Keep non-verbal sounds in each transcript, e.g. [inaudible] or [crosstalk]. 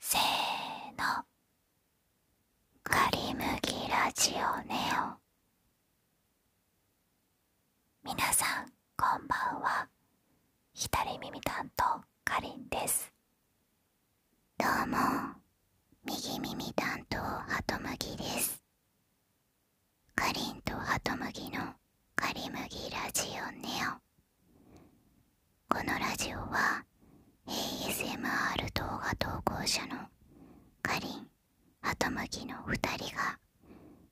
せーの「かりむぎラジオネオ」みなさんこんばんは左耳担当かりんですどうも右耳担当ハトムギですかりんとハトムギの「かりむぎラジオネオ」このラジオは ASMR 動画投稿者のかりんはとむきの2人が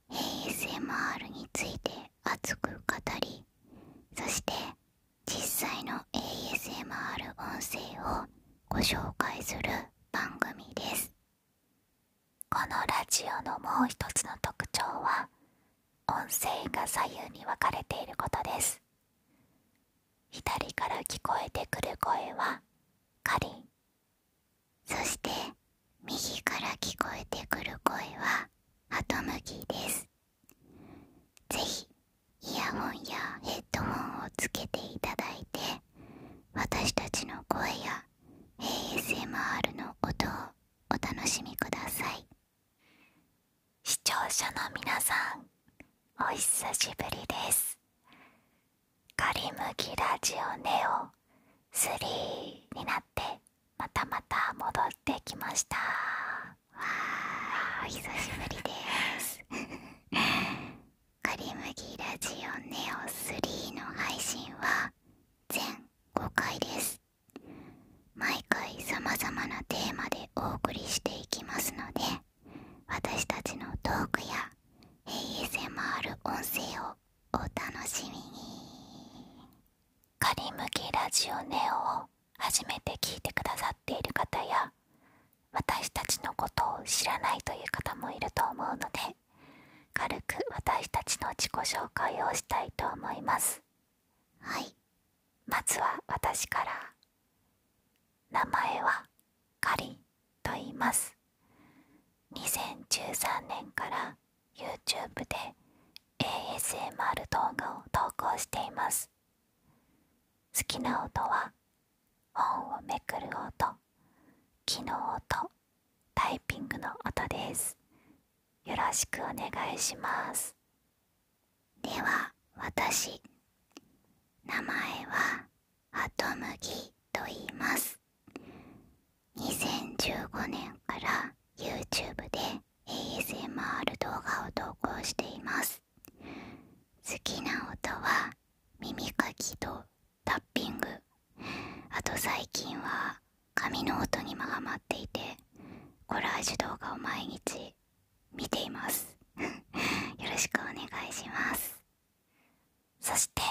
ASMR について熱く語りそして実際の ASMR 音声をご紹介する番組ですこのラジオのもう一つの特徴は音声が左右に分かれていることです左から聞こえてくる声はカリンそして右から聞こえてくる声はハトムギですぜひイヤホンやヘッドホンをつけていただいて私たちの声や ASMR の音をお楽しみください。視聴者の皆さんお久しぶりですカリムキラジオネオ3になってまたまた戻ってきましたわーお久しぶりですカリムギラジオネオ3の配信は全5回です毎回さまざまなテーマでお送りしていきますので私たちのトークや ASMR 音声をお楽しみに仮向けラジオネオを初めて聞いてくださっている方や私たちのことを知らないという方もいると思うので軽く私たちの自己紹介をしたいと思いますはいまずは私から名前はかりんと言います2013年から YouTube で ASMR 動画を投稿しています好きな音は本をめくる音木の音タイピングの音ですよろしくお願いしますでは私名前はハトムギと言います2015年から YouTube で ASMR 動画を投稿しています好きな音は耳かきとタッピングあと最近は髪の音にもハマっていてコラージュ動画を毎日見ています [laughs] よろしくお願いしますそして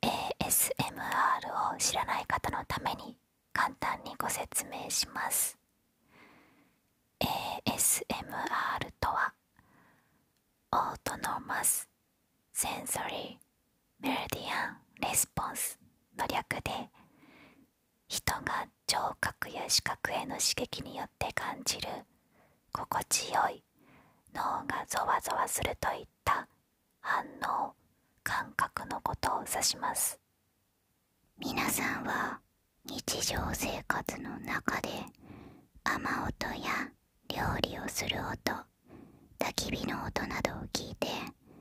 ASMR を知らない方のために簡単にご説明します ASMR とはオートノーマス・センソリー・メロディアン・レスポンスの略で人が聴覚や視覚への刺激によって感じる心地よい脳がゾワゾワするといった反応感覚のことを指します皆さんは日常生活の中で雨音や料理をする音焚き火の音などを聞いて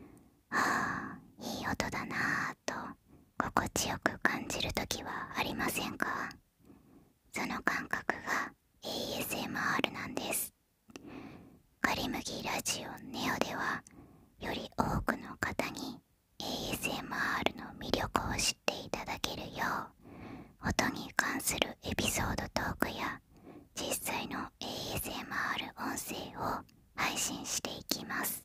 「ああいい音だな」と心地よく感じる時はありませんかその感覚が ASMR なんですカリムギラジオネオではより多くの方に ASMR の魅力を知っていただけるよう音に関するエピソードトークや実際の ASMR 音声を配信していきます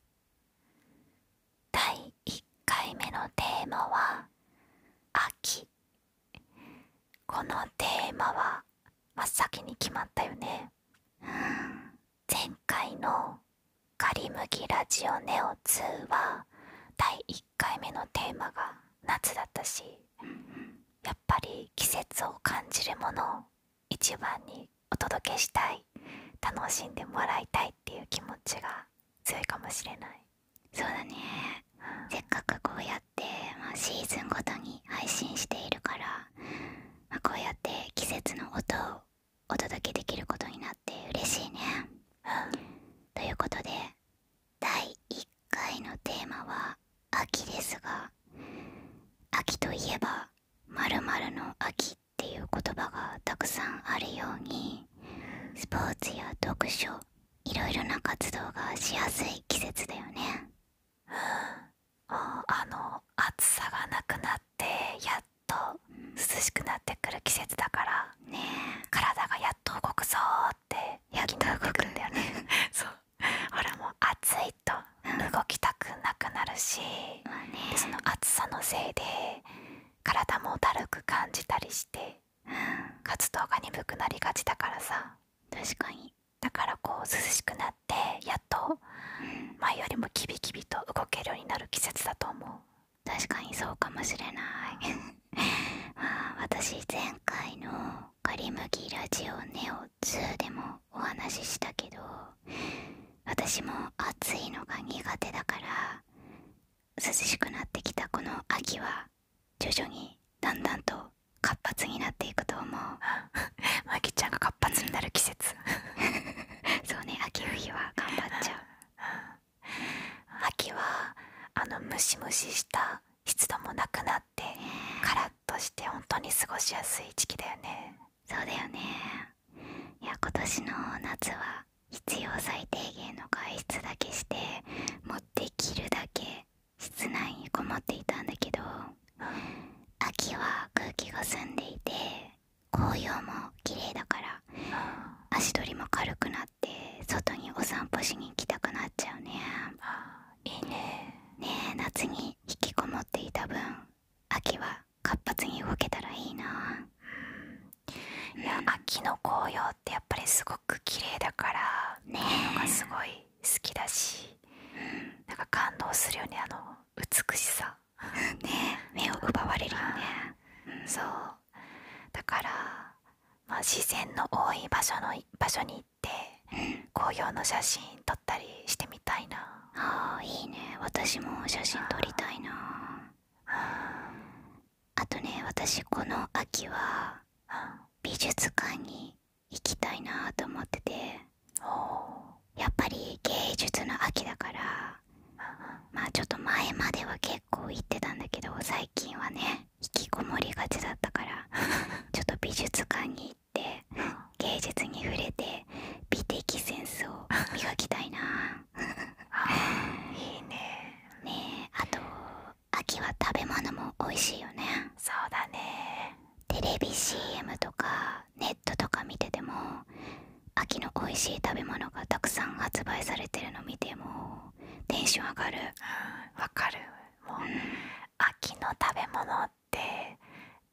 第1回目のテーマは「秋」このテーマは真っ先に決まったよね、前回の「カリムギラジオネオ2」は第1回目のテーマが夏だったしやっぱり季節を感じるもの一番にお届けしたい楽しんでもらいたいっていう気持ちが強いかもしれないそうだね、せっかくこうやって、まあ、シーズンごとに配信しているから、まこうやって季節の音をお届けできることになって嬉しいね、うん、ということで第1回のテーマは「秋」ですが秋といえば「まるの秋」っていう言葉がたくさんあるようにスポーツや読書いろいろな活動がしやすい季節だよね。うん、あの暑さがなくなってやっと涼しくなってくる季節だから、ね体がやっと動くぞーってやっと動くんだよね。[laughs] そう俺も暑いと動きたくなくなるし、その暑さのせいで体もだるく感じたりして、活動が鈍くなりがちだからさ確かにだからこう涼しくなってやっと前よりもキビキビと動けるようになる季節だと思う確かにそうかもしれない [laughs] 私前回の「カリムギラジオネオ2」でもお話ししたけど私も暑いのが苦手だから涼しくなってきたこの秋は徐々にだんだんと活発になっていくと思う [laughs] マきちゃんが活発になる季節 [laughs] そうね秋冬は頑張っちゃう [laughs] 秋はあのムシムシした湿度もなくなってカラッとして本当に過ごしやすい時期だよねそうだよねいや今年の夏は必要最低限の外出だけして持ってきるだけ室内にこもっていたんだけど秋は空気が澄んでいて紅葉も綺麗だから足取りも軽くなって外にお散歩しに行きたくなっちゃうねいねねえ夏に引きこもっていた分秋は活発に動けたらいいな、いや秋の紅葉ってやっぱりすごく綺麗だからねがすごい好きだし、うん、なんか感動するよねあの美しさね目を奪われるよね、うん、そうだから、まあ、自然の多い場所の場所に行って、紅葉の写真撮ったりしてみたいなあいいね私も写真撮りたいなあとね私この秋は美術館に行きたいなと思っててやっぱり芸術の秋だからまあちょっと前までは結構行ってたんだけど最近はね引きこもりがちだったからちょっと美術館に行って芸術に触れて美的センスを磨きたいないいねあと秋は食べ物も美味しいよねそうだねテレビ CM とかネットとか見てても秋の美味しい食べ物がたくさん発売されてるの見てもテンション上がるわかるもう、秋の食べ物って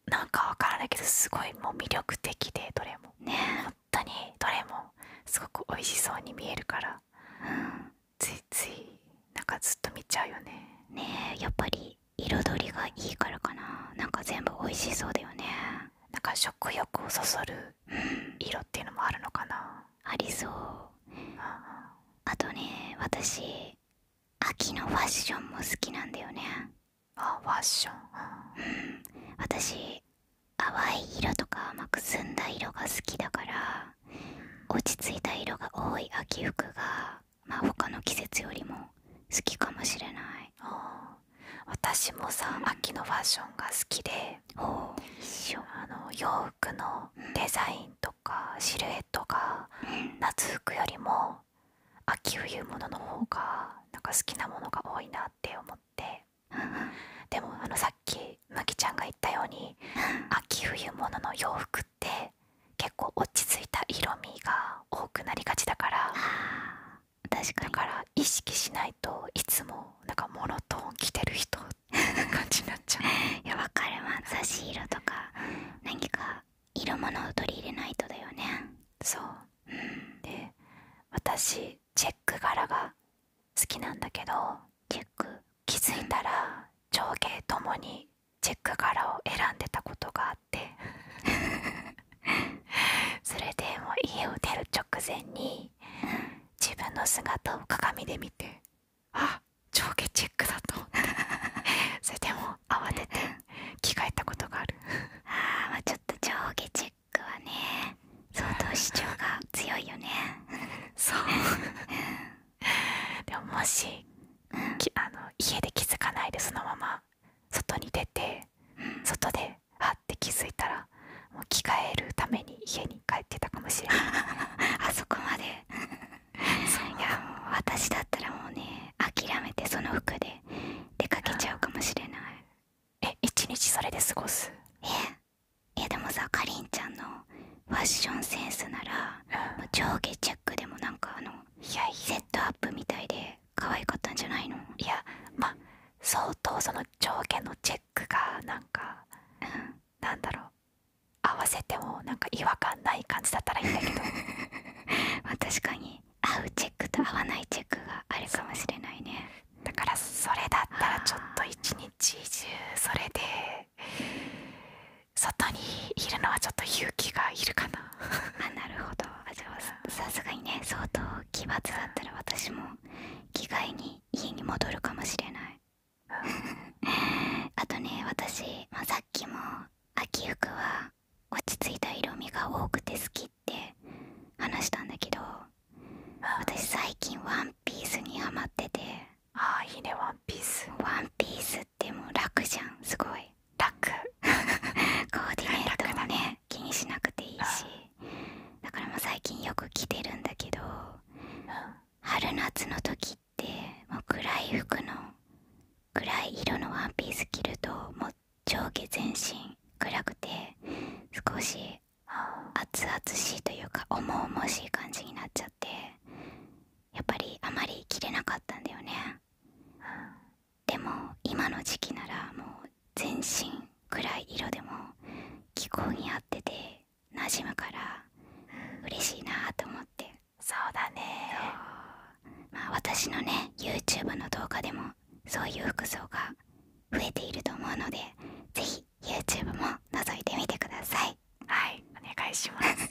なんかわからないけどすごいもう魅力的でどれもね本当にどれもすごく美味しそうに見えるから、ついついなんかずっと見ちゃうよねねえやっぱり彩りがいいからかななんか全部美味しそうだよねなんか食欲をそそる色っていうのもあるのかなありそうあとね私秋のファッションも好きなんだよねファッション、私淡い色とか甘く澄んだ色が好きだから落ち着いた色が多い秋服がまあ他の季節よりも好きかもしれない私もさ、秋のファッションが好きで一緒洋服のデザインとかシルエットが夏服よりも秋冬物の方がなんか好きなものが多いなって思って、[laughs] でもあのさっきマキちゃんが言ったように、[laughs] 秋冬物の洋服って結構落ち着いた色味が多くなりがちだから確かだから意識しないといつもなんかモノトーン着てる人って感じになっちゃう [laughs] いやわかるわ差し色とか何か色物を取り入れないとだよねそうで私チェック柄が好きなんだけど結局気づいたら上下ともにチェック柄を選んでたことがあって [laughs] それでもう家を出る直前に自分の姿を鏡で見てあ上下チェックだと [laughs] それでも慌てて着替えたことがあるああちょっと上下クはね相当主張が強いよねそう [laughs] でももし、あの家で気づかないでそのまま外に出て、外であって気づいたらもう着替えるために家に帰ってたかもしれない [laughs] あそこまでいや私だったらもうね諦めてその服で出かけちゃうかもしれないえ一日それで過ごすいやでもさかりんちゃんのファッションセンスなら、う上下チェックでもなんかあのいやいセットアップみたいで可愛かったんじゃないのいやまあ相当その上下のチェックがなんか、うなんだろう合わせてもなんか違和感ない感じだったらいいんだけど [laughs] ま確かに合うチェックと合わないチェックがあるかもしれないねだからそれだったらちょっと一日中それで外にいるのはちょっと勇気がいるかなあなるほどあじゃあ [laughs] さすがにね相当奇抜だったら私も着替えに家に戻るかもしれない [laughs] あとね私、まさっきも秋服は落ち着いた色味が多くて好きって話したんだけど、私最近「ワンピースにハマっててああいいね「ワンピースワンピースってもう楽じゃんすごい楽 [laughs] コーディネートもね、気にしなくていいし、だからもう最近よく着てるんだけど、春夏の時ってもう暗い服の暗い色のワンピース着るともう上下全身暗くて少し熱々しいというか重々しい感じになっちゃってやっぱりあまり着れなかったんだよねでも今の時期ならもう全身暗い色でも気候に合ってて馴染むから嬉しいなと思ってそうだね私のね YouTube の動画でもそういう服装が増えていると思うのでぜひ y o u t u b も覗いてみてくださいはいお願いします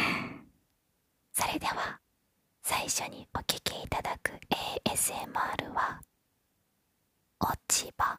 [laughs] それでは最初にお聴きいただく ASMR は「落ち葉」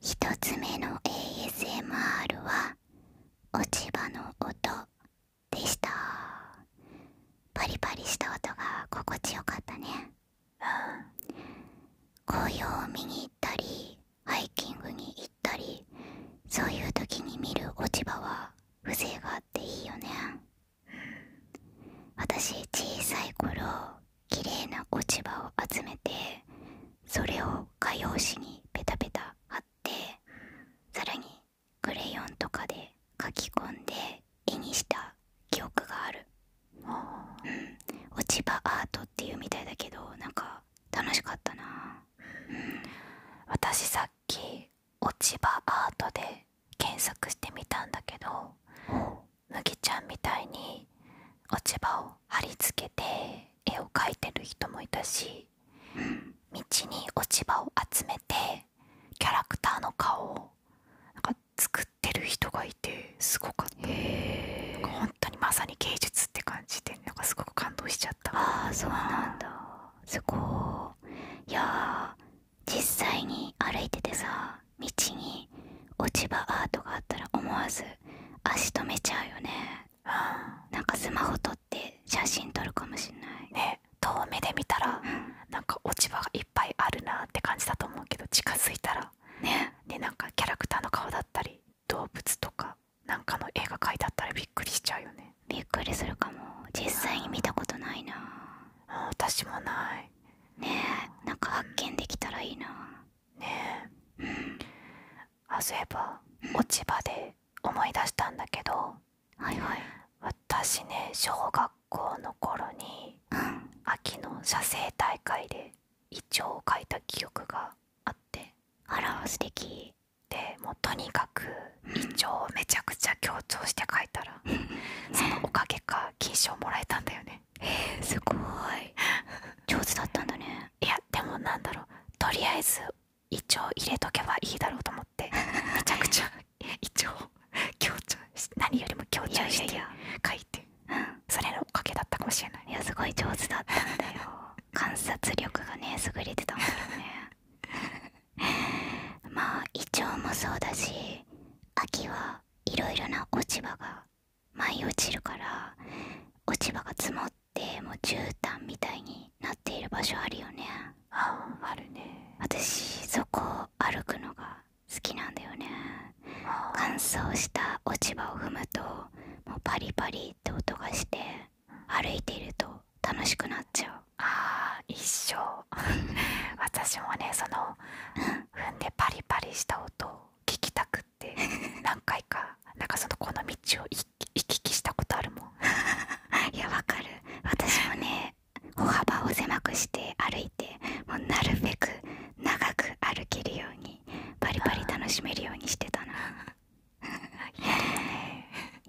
一つ目の ASMR は落ち葉の音でしたパリパリした音が心地よかったね紅葉を見に行ったりハイキングに行ったりそういう時に見る落ち葉は風情があっていいよね私小さい頃綺麗な落ち葉を集めてそれを画用紙にペタペタ貼ってさらにクレヨンとかで書き込んでで絵にした記憶がある落ち葉アートっていうみたいだけどなんか楽しかったな、私さっき落ち葉アートで検索してみたんだけど麦ちゃんみたいに落ち葉を貼り付けて絵を描いてる人もいたし、道に落ち葉を集めてキャラクターの顔をなんか作っってる人がいてすごかったんか本当にまさに芸術って感じでなんかすごく感動しちゃったああそうなんだすごいや実際に歩いててさ道に落ち葉アートがあったら思わず足止めちゃうよね、うなんかスマホ撮って写真撮るかもしれない遠目で見たら、なんか落ち葉がいっぱいあるなって感じだと思うけど近づいたらねでなんかキャラクターの顔だったり動物とかなんかの映画描いてあったらびっくりしちゃうよねびっくりするかも実際に見たことないなあ私もないねえなんか発見できたらいいなねえうんあそういえば、う落ち葉で思い出したんだけどはいはい私ね小学校の頃に、秋の写生大会でイチを描いた記憶があってあら素でもうとにかくイチをめちゃくちゃ強調して描いたら、そのおかげか金賞もらえたんだよねすごい上手だったんだねいやでもなんだろうとりあえずイチョウ入れとけばいいだろうと思ってめちゃくちゃイチョウ何よりも強調して書いてそれのおかげだったかもしれないすごい上手だったんだよ [laughs] 観察力がね優れてたんだよね [laughs] まあ胃腸もそうだし秋はいろいろな落ち葉が舞い落ちるから落ち葉が積もってもう絨毯みたいになっている場所あるよねああるね私そこを歩くのが好きなんだよね乾燥した落ち葉を踏むともうパリパリって音がして歩いていると楽しくなっちゃうあー一生 [laughs] 私もねその踏んでパリパリした音を聞きたくって [laughs] 何回かなんかそのこの道を行き来したことあるもん [laughs] いやわかる私もね歩幅を狭くして歩いてもうなるべく長く歩けるようにバリバリ楽しめるようにしてたな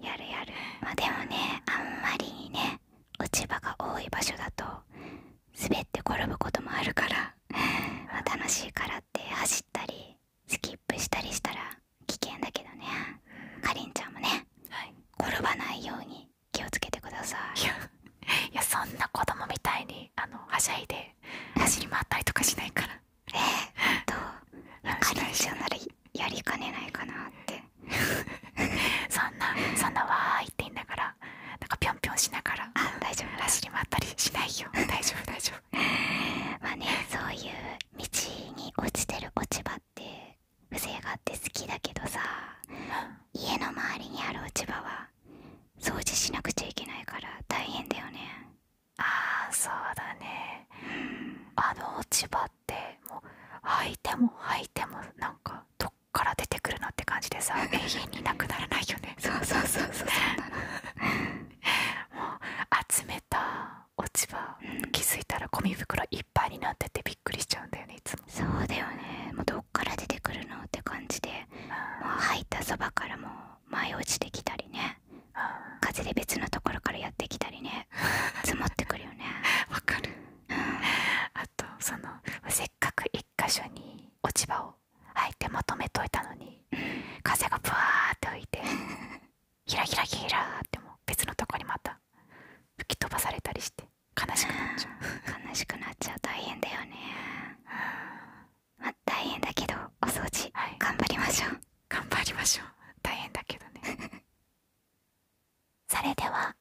やるやるまあでもねあんまりにね落ち葉が多い場所だと滑って転ぶこともあるから、楽しいからって走ったりスキップしたりしたら危険だけどねかりんちゃんもね、転ばないように気をつけてください [laughs] いやそんな子供みたいにあのはしゃいで走り回ったりとかしないからえっとカリンちゃならやりかねないかなって [laughs] そんなそんなわーいって言いながらなんかぴょんぴょんしながら大丈夫走り回ったりしないよ大丈夫大丈夫 [laughs] まあねそういう道に落ちてる落ち葉って風情があって好きだけどさ、家の周りにある落ち葉は掃除しなくちゃいけないから大変だよねああそうだね、あの落ち葉ってもう履いても履いてもなんかどっから出てくるなって感じでさ [laughs] 永遠になくならないよねそうそうそうそうそう [laughs] もう集めた落ち葉、気づいたらゴミ袋いっぱいになっててびっくりしちゃうんだよねいつもそうだよねもうどから出てくるのって感じでもう入ったそばからも舞い落ちてきたりね風で別のところからやってきたりね積もってくるよね [laughs] わかる、あとそのせっかく1箇所に落ち葉をあいてまとめといたのに、風がぶわーって吹いてひらひらひらっても別のとこにまた吹き飛ばされたりして悲しくなっちゃう悲しくなっちゃう大変だよね、あ、大変だけどお掃除、頑張りましょう頑張りましょう大変だけどね [laughs] それでは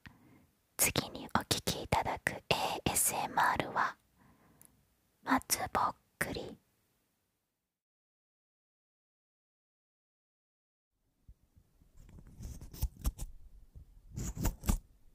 次にお聴きいただく ASMR は「松ぼっくり」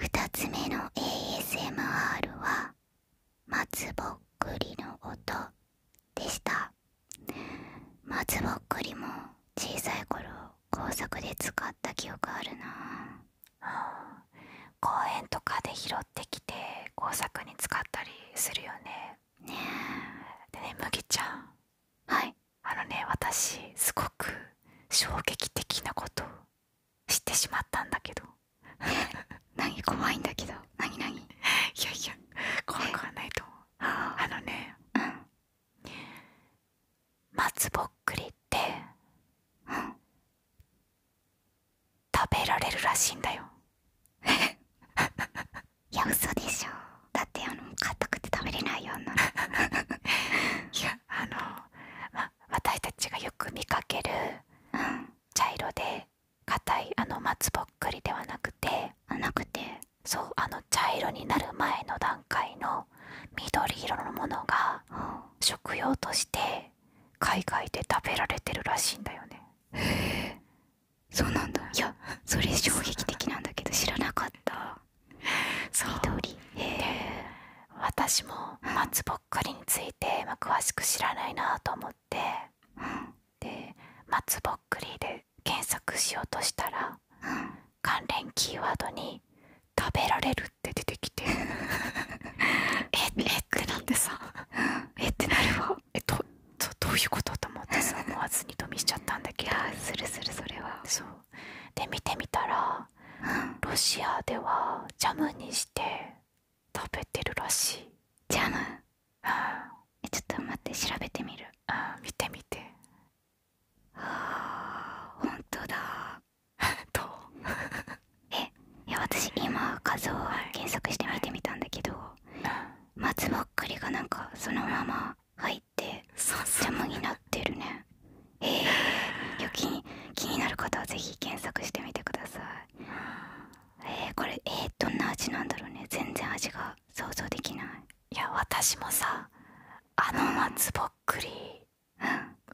2つ目の ASMR は松ぼっくりの音でした松ぼっくりも小さい頃工作で使った記憶あるなあ公園とかで拾ってきて工作に使ったりするよねねでね麦ちゃんはいあのね私すごく衝撃的なことを知ってしまったんだけど [laughs] 何怖いんだけど何何いやいや怖くはないと思うあのね、うん、松ぼっくりって、うん、食べられるらしいんだよ [laughs] いや嘘でしょだってあの硬くて食べれないような [laughs] いやあの、ま、私たちがよく見かける、茶色で硬いあの松ぼっくりではなくてそうあの茶色になる前の段階の緑色のものが、食用として海外で食べられてるらしいんだよねそうなんだいやそれ衝撃的なんだけど知らなかった緑私も松ぼっくりについて詳しく知らないなと思っで松ぼっくりで検索しようとしたら、関連キーワードに「食べられる」って出てきて [laughs] えっえってなってさえってなるわどういうことと思ってさ [laughs] 思わず二度見しちゃったんだけどするするそれはで見てみたら、ロシアではジャムにして食べてるらしいジャムちょっと待って調べてみる見てみてああ、ほんとだ [laughs] どう [laughs] えいや私今画像を検索して見てみたんだけど、はいは松ぼっかりがなんかそのまま入ってジャムになってるね [laughs] えー、気に気になる方は是非検索してみてくださいこれえー、どんな味なんだろうね全然味が想像できないいや私もさあの松ぼっくり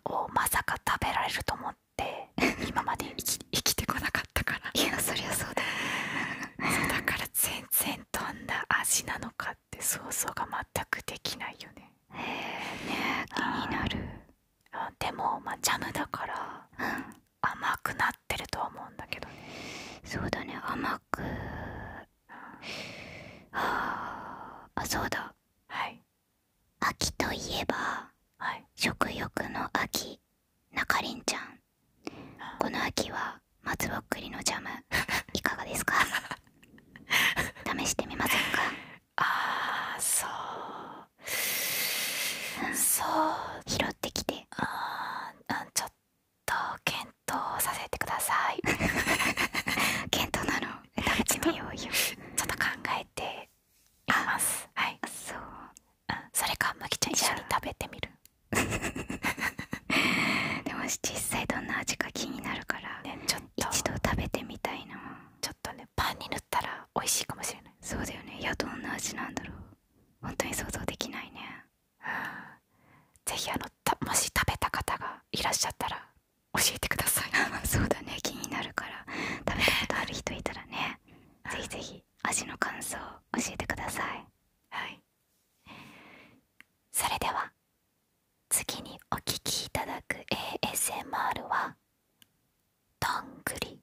をまさか食べられると思って、今まで生き [laughs] てこなかったからいやそりゃそうだだから全然どんな味なのかって想像が全くできないよねえ気になるでもまあジャムだから、うん、甘くなってると思うんだけどそうだね甘く、あそうだ秋といえば、食欲の秋中凛ちゃんこの秋は松ぼっくりのジャム [laughs] いかがですか試してみませんか [laughs] ああそう、うん、そう拾ってきてああ、ちょっと検討させてください [laughs] 検討なのちょっと考えていますはいそう、それかきちゃん一緒に食べてみる [laughs] でも実際どんな味か気になるから、ね、ちょっと一度食べてみたいなちょっとねパンに塗ったら美味しいかもしれないそうだよねいやどんな味なんだろうほんとに想像できないね、うん、ぜひあのもし食べた方がいらっしゃったら教えてください [laughs] そうだね気になるから食べたことある人いたらね [laughs] ぜひぜひ味の感想教えてくださいはいそれでは次にお聴きいただく ASMR は「どんぐり」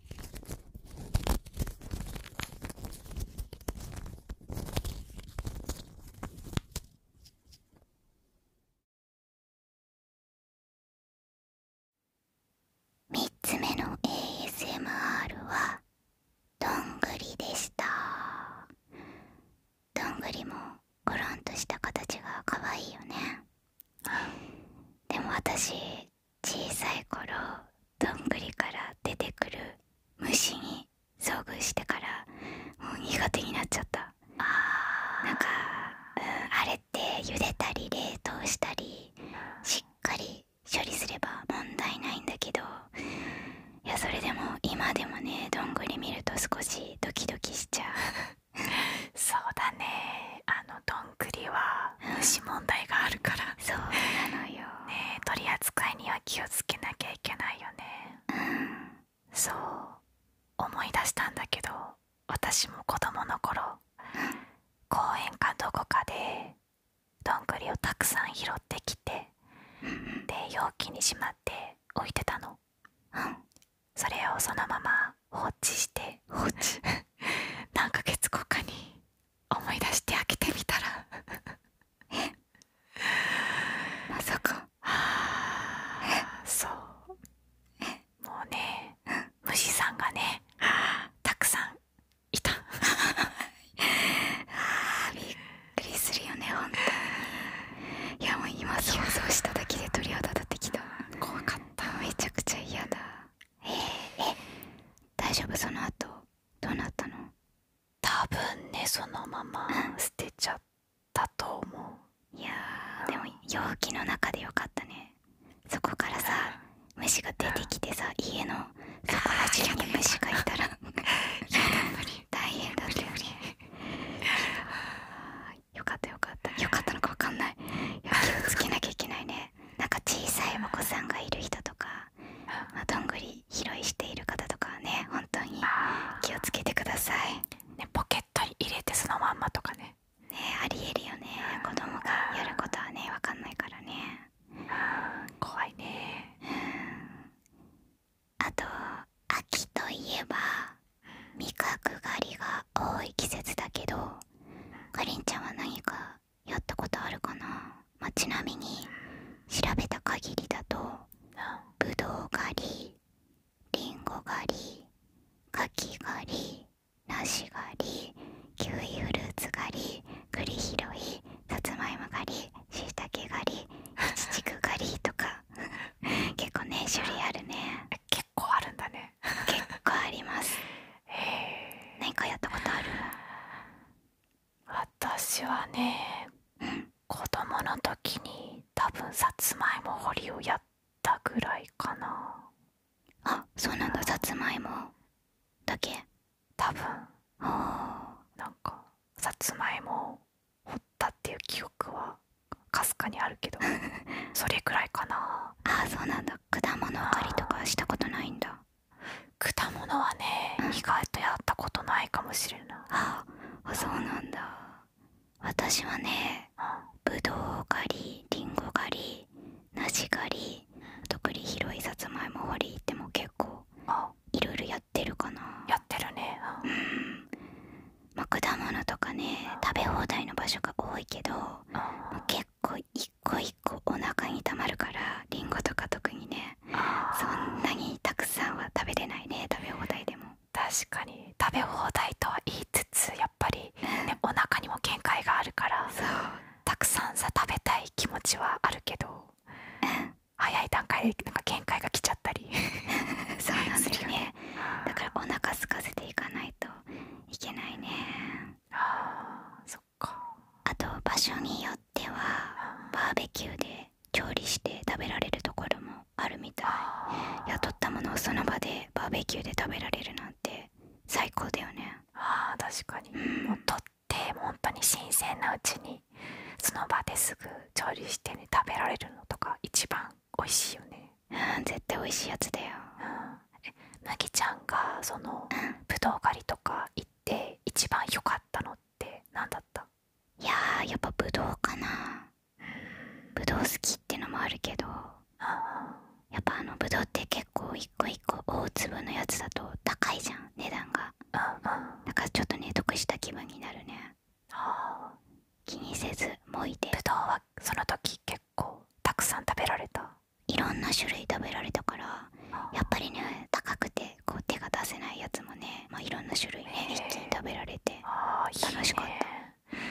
3つ目の ASMR はどんぐりでしたどんぐりもゴロンとした形が可愛いよねでも私小さい頃どんぐりから出てくる虫に遭遇してからもう苦手になっちゃったなんか、あれって茹でたり冷凍したりしっかり処理すれば問題ないんだけどそれでも今でもねどんぐり見ると少しドキドキしちゃう [laughs] そうだねあのどんくりは虫問題があるから、そうなの取り扱いには気をつけなきゃいけないよね、そう思い出したんだけど私も子供の頃、公園かどこかでどんぐりをたくさん拾ってきて、で容器にしまって置いてたの、それをそのまま放置して放置 [laughs] 何ヶ月後かに思い出して開けてみたら [laughs] まさかあそうもうね虫さんがねたくさんいたびっくりするよね本当にいやもう今想像しただけで鳥肌立ってきた怖かっためちゃくちゃ嫌だええ大丈夫その後どなたの多分ねそのまま [laughs] 捨てちゃったと思ういやでも陽気の中でよかったねそこからさ虫が出てきてさ家のそこら中に虫がいたら [laughs] 大変だったよねよかったよかったよかったのかわかんない [laughs] 気をつけなきゃいけないねなんか小さいお子さんがいる人とかどんぐり拾いしている方とかはね本当に気をつけてください、ポケットに入れてそのまんまとかねねありえるよね子供がやることはね分かんないからね怖いねあと秋といえば味覚狩りが多い季節だけどかりんちゃんは何かやったことあるかな、ちなみに調べた限りだとぶどう狩りりんご狩り柿狩り梨狩りキウイフルーツ狩り栗拾いさつまいも狩りしいたけ狩りいちちく狩りとか [laughs] 結構ね種類あるね結構あるんだね結構あります [laughs] 何かやったことある私はね、うん、子供の時に多分さつまいも掘りをやったぐらいかなあそうなんださつまいもだけ多分なんかさつまいも掘ったっていう記憶はかすかにあるけど [laughs] それくらいかなああ、そうなんだ果物狩りとかしたことないんだ果物はね、意外とやったことないかもしれないああそうなんだ私はね、うん、ぶ狩りりんご狩りナジ狩り特に広いさつまいも掘りっても結構いろいろやってるかなやってるねうん、果物とかね食べ放題の場所が多いけど、うん、結構う一個一個お腹にたまるからリンゴとか特にねそんなにたくさんは食べれないね食べ放題でも確かに食べ放題とは言いつつやっぱり、ね、[laughs] お腹にも限界があるからそうたくさんさ食べたい気持ちはあるけど、うん、早い段階でなんか限界が来ちゃったり [laughs] そうなんですよねだからお腹空かせていかないといけないねあそっあと場所によってはバーベキューで調理して食べられるところもあるみたい雇ったものをその場でバーベキューで食べられるなんて最高だよねあ確かに、うん、もう取って本当に新鮮なうちにその場ですぐ調理してね食べられるのとか一番美味しいよね絶対美味しいやつだよ、うん、えちゃんがその、うん、ぶ狩りとか行っっ一番良かったのって何だったいややっぱぶどうかなぶどう好きってのもあるけどやっぱあのぶどうって結構一個一個大粒のやつだと高いじゃん値段がだかちょっとね得した気分になるね気にせずもいでぶどうはその時結構たくさん食べられたいろんな種類食べられたからやっぱりね高くて手が出せないやつもね、いろんな種類ね一気に食べられて楽しかったね、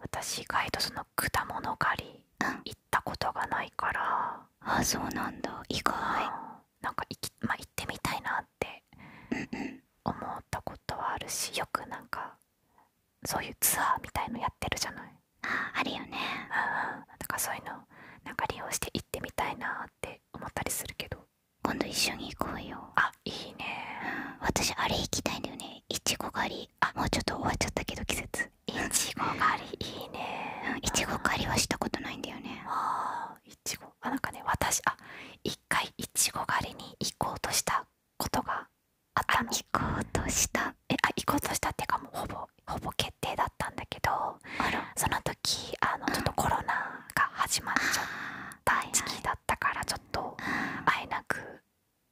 私意外とその果物狩り行ったことがないから、うあそうなんだ意外なんか行ってみたいなって思ったことはあるしよくなんかそういうツアーみたいのやってるじゃないあるよね、だからそういうのなんか利用して行ってみたいなって思ったりするけど今度一緒に行こうよあいいね、う私あれ行きたいんだよねいちご狩りあもうちょっと終わっちゃったけど季節いちご狩りいいね、うん、いちご狩りはしたことないんだよねあいちごあなんかね私あ一回いちご狩りに行こうとしたことがあったの行こうとしたえあ行こうとしたっていうかもうほぼほぼ決定だったんだけどその時あのちょっとコロナが始まっちゃった時期だったからちょっと会えなく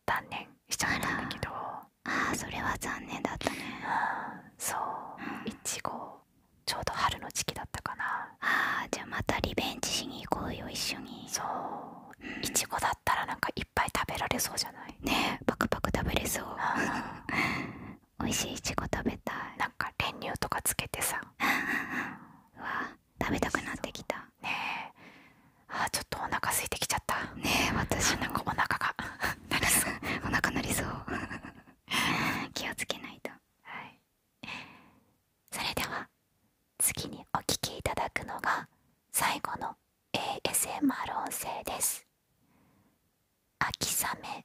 断念しちゃったんだけどあそれは残念だったねそういちごちょうど春の時期だったかなあじゃあまたリベンジしに行こうよ一緒にそういちごだったらなんかいっぱい食べられそうじゃないねえパクパク食べれそう美味しいいちご食べたいなんか練乳とかつけてさう [laughs] わ食べたくなってきたねえあーちょっとお腹空いてきちゃったねえ私なんかお腹が [laughs] なりそうお腹なりそう [laughs] 気をつけないとそれでは次にお聞きいただくのが最後の ASMR 音声です「秋雨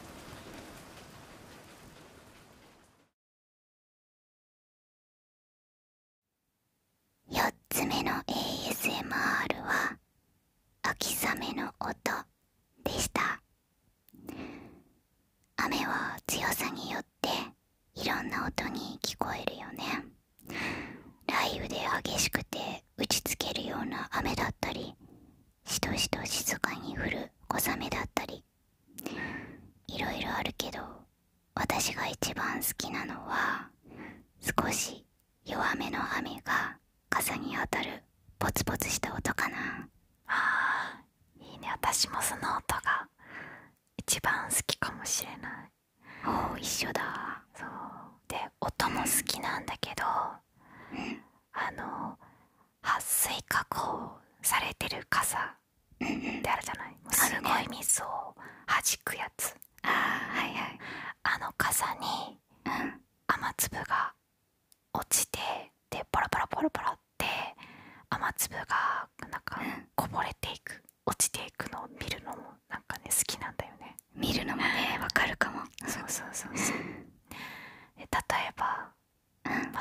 4つ目の ASMR は秋雨の音でした雨は強さによっていろんな音に聞こえるよね雷雨で激しくて打ちつけるような雨だったりしとしと静かに降る小雨だったりいろいろあるけど私が一番好きなのは少し弱めの雨が傘に当たるポツポツした音かなあいいね私もその音が一番好きかもしれないおお一緒だそうで音も好きなんだけど、うん、あの撥水加工されてる傘ってあるじゃない、すごい水をはじくやつあ,、はいはい、あの傘に、雨粒が落ちてでパラパラパラパラって雨粒がなんかこぼれていく落ちていくのを見るのもなんかね好きなんだよね見るのもねわかるかもそうそうそうそう例えば、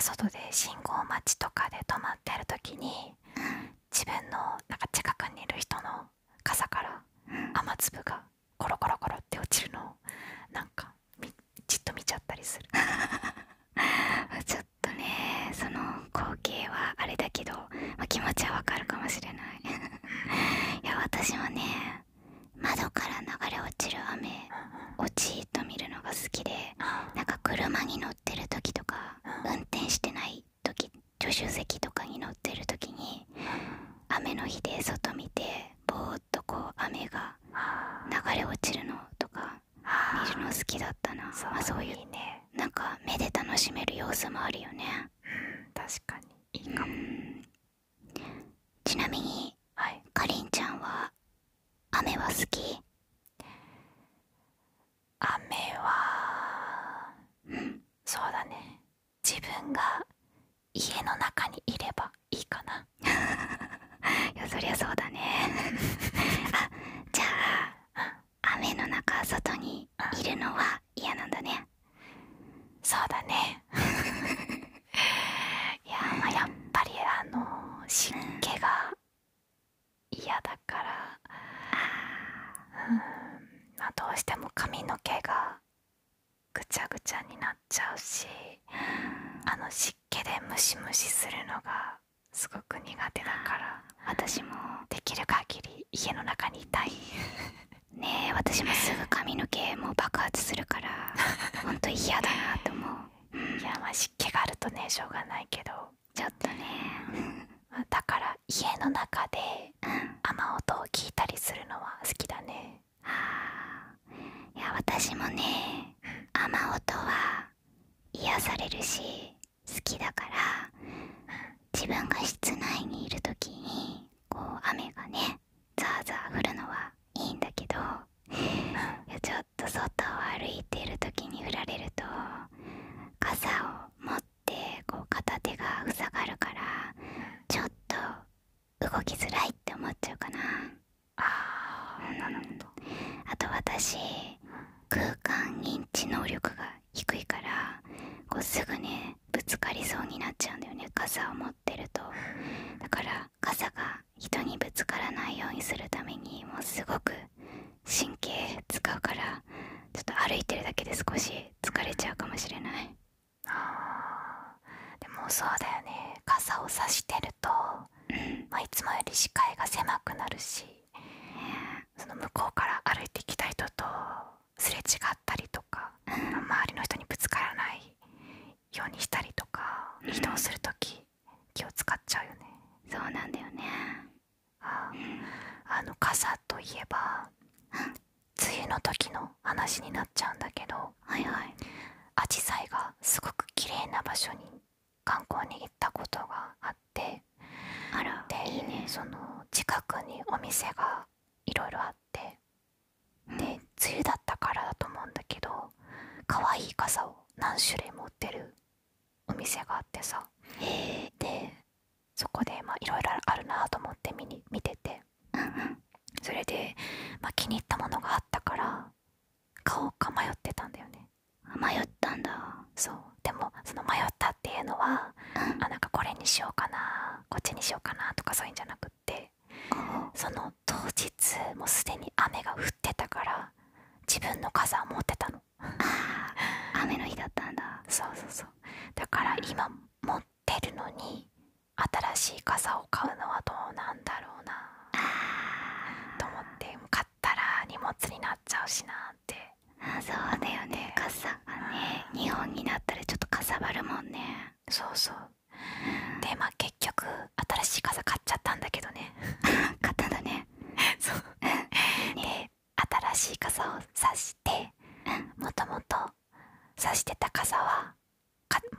外で信号待ちとかで止まってる時に、自分のなんか近くにいる人の傘から雨粒がコロコロコロって落ちるのをなんかじっと見ちゃったりする [laughs] ちょっとねその光景はあれだけど、気持ちはわかるかもしれない [laughs] いや私もね窓から流れ落ちる雨落ちっと見るのが好きでなんか車に乗ってる時とか運転してない時助手席とかに乗ってる時に雨の日で外見てぼーっとこう雨が流れ落ちるのとか見るの好きだったなそう、まういうなんか目で楽しめる様子もあるよね確かにちなみに、かりんちゃんは雨は好き雨はうんそうだね自分が家の中にいればいいかな [laughs] いやそりゃそうだねあじゃあ雨の中外にいるのは嫌なんだねそうだね [laughs] いややっぱりあの湿気が嫌だから、まどうしても髪の毛がぐちゃぐちゃになっちゃうしあの湿気でムシムシするのがすごく苦手だから私もできる限り家の中にいたいねえ私もすぐ髪の毛も爆発するからほんと嫌だなと思う、いや湿気があるとねしょうがないけどちょっとね、だから家の中で、雨音を聞いたりするのは好きだねあいや私もね雨音は癒されるし好きだから自分が室内にいる時にこう雨がねねザーザー降るのはいいんだけどちょっと外を歩いている時に降られると傘を持って片手が塞がるからちょっと動きづらいって思っちゃうかなあなるほどあと私空間認知能力が低いからこうすぐねぶつかりそうになっちゃうんだよね傘を持ってるとだから傘が人にぶつからないようにするためにもうすごく神経使うからちょっと歩いてるだけで少し疲れちゃうかもしれないあでもそうだよね傘を差してると、いつもより視界が狭くなるし、その向こうから歩いてきた人とすれ違ったりとか、周りの人にぶつからないようにしたりとか移動する時気を使っちゃうよねそうなんだよねああの傘といえば梅雨の時の話になっちゃうんだけどはいはいアジサイがすごく綺麗な場所に観光に行ったことがあってあらでいいその近くにお店がいろいろあってね梅雨だったからだと思うんだけど可愛い傘を何種類も売ってるお店があってさでそこでまあいろいろあるなと思って見に見ててそれで、まあ、気に入ったものがあったから買おうか迷ってたんだよね迷ったんだそうでもその迷ったっていうのは、あなんかこれにしようかなこっちにしようかなとかそういうんじゃなくて。くその当日もうすでに雨が降ってたから自分の傘を持ってたのああ、雨の日だったんだそうそうそうだから今持ってるのに新しい傘を買うのはどうなんだろうなと思って買ったら荷物になっちゃうしなってあそうだよね傘がね、う本になったらちょっとかさばるもんねそうそうでまあ結局新しい傘買っちゃったんだけどね [laughs] 買ったんだね [laughs] そう新しい傘をさしてもともとさしてた傘は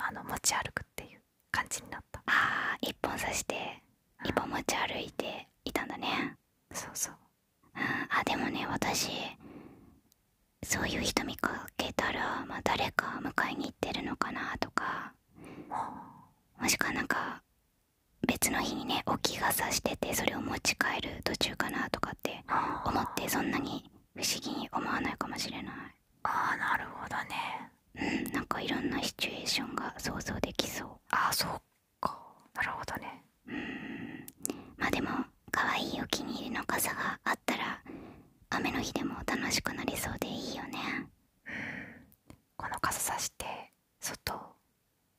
あの持ち歩くっていう感じになったああ1本差して1本持ち歩いていたんだねそうそうあでもね私そういう人見かけたら、まあ、誰か迎えに行ってるのかなとかもしくなんか別の日にね置き傘しててそれを持ち帰る途中かなとかって思ってそんなに不思議に思わないかもしれないああなるほどねうんなんかいろんなシチュエーションが想像できそうあそっかなるほどねうんまでも可愛いお気に入りの傘があたら雨の日でも楽しくなりそうでいいよねこの傘さして外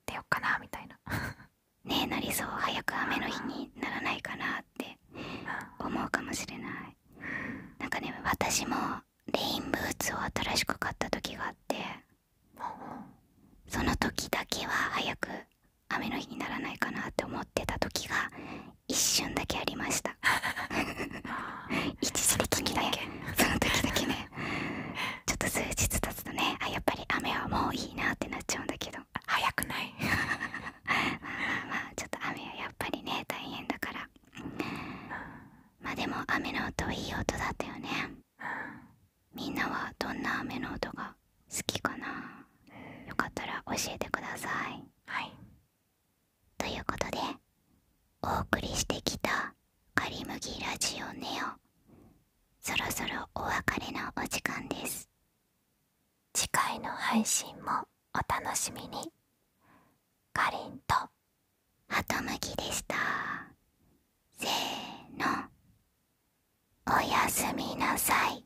出ようかなみたいな [laughs] ねえなりそう早く雨の日にならないかなって思うかもしれないなんかね私もレインブーツを新しく買った時があってその時だけは早く雨の日にならないかなって思ってた時が一瞬だけありました [laughs] 一時的にねその時だけねちょっと数日経つとねあやっぱり雨はもういいなってなっちゃうんだけど早くないまあまあまあちょっと雨はやっぱりね大変だからまあでも雨の音いい音だったよねみんなはどんな雨の音が好きかなよかったら教えてくださいはいということでお送りしてきた「カリムラジオネオ」そろそろお別れのお時間です次回の配信もお楽しみにかりんとハトムギでしたせーのおやすみなさい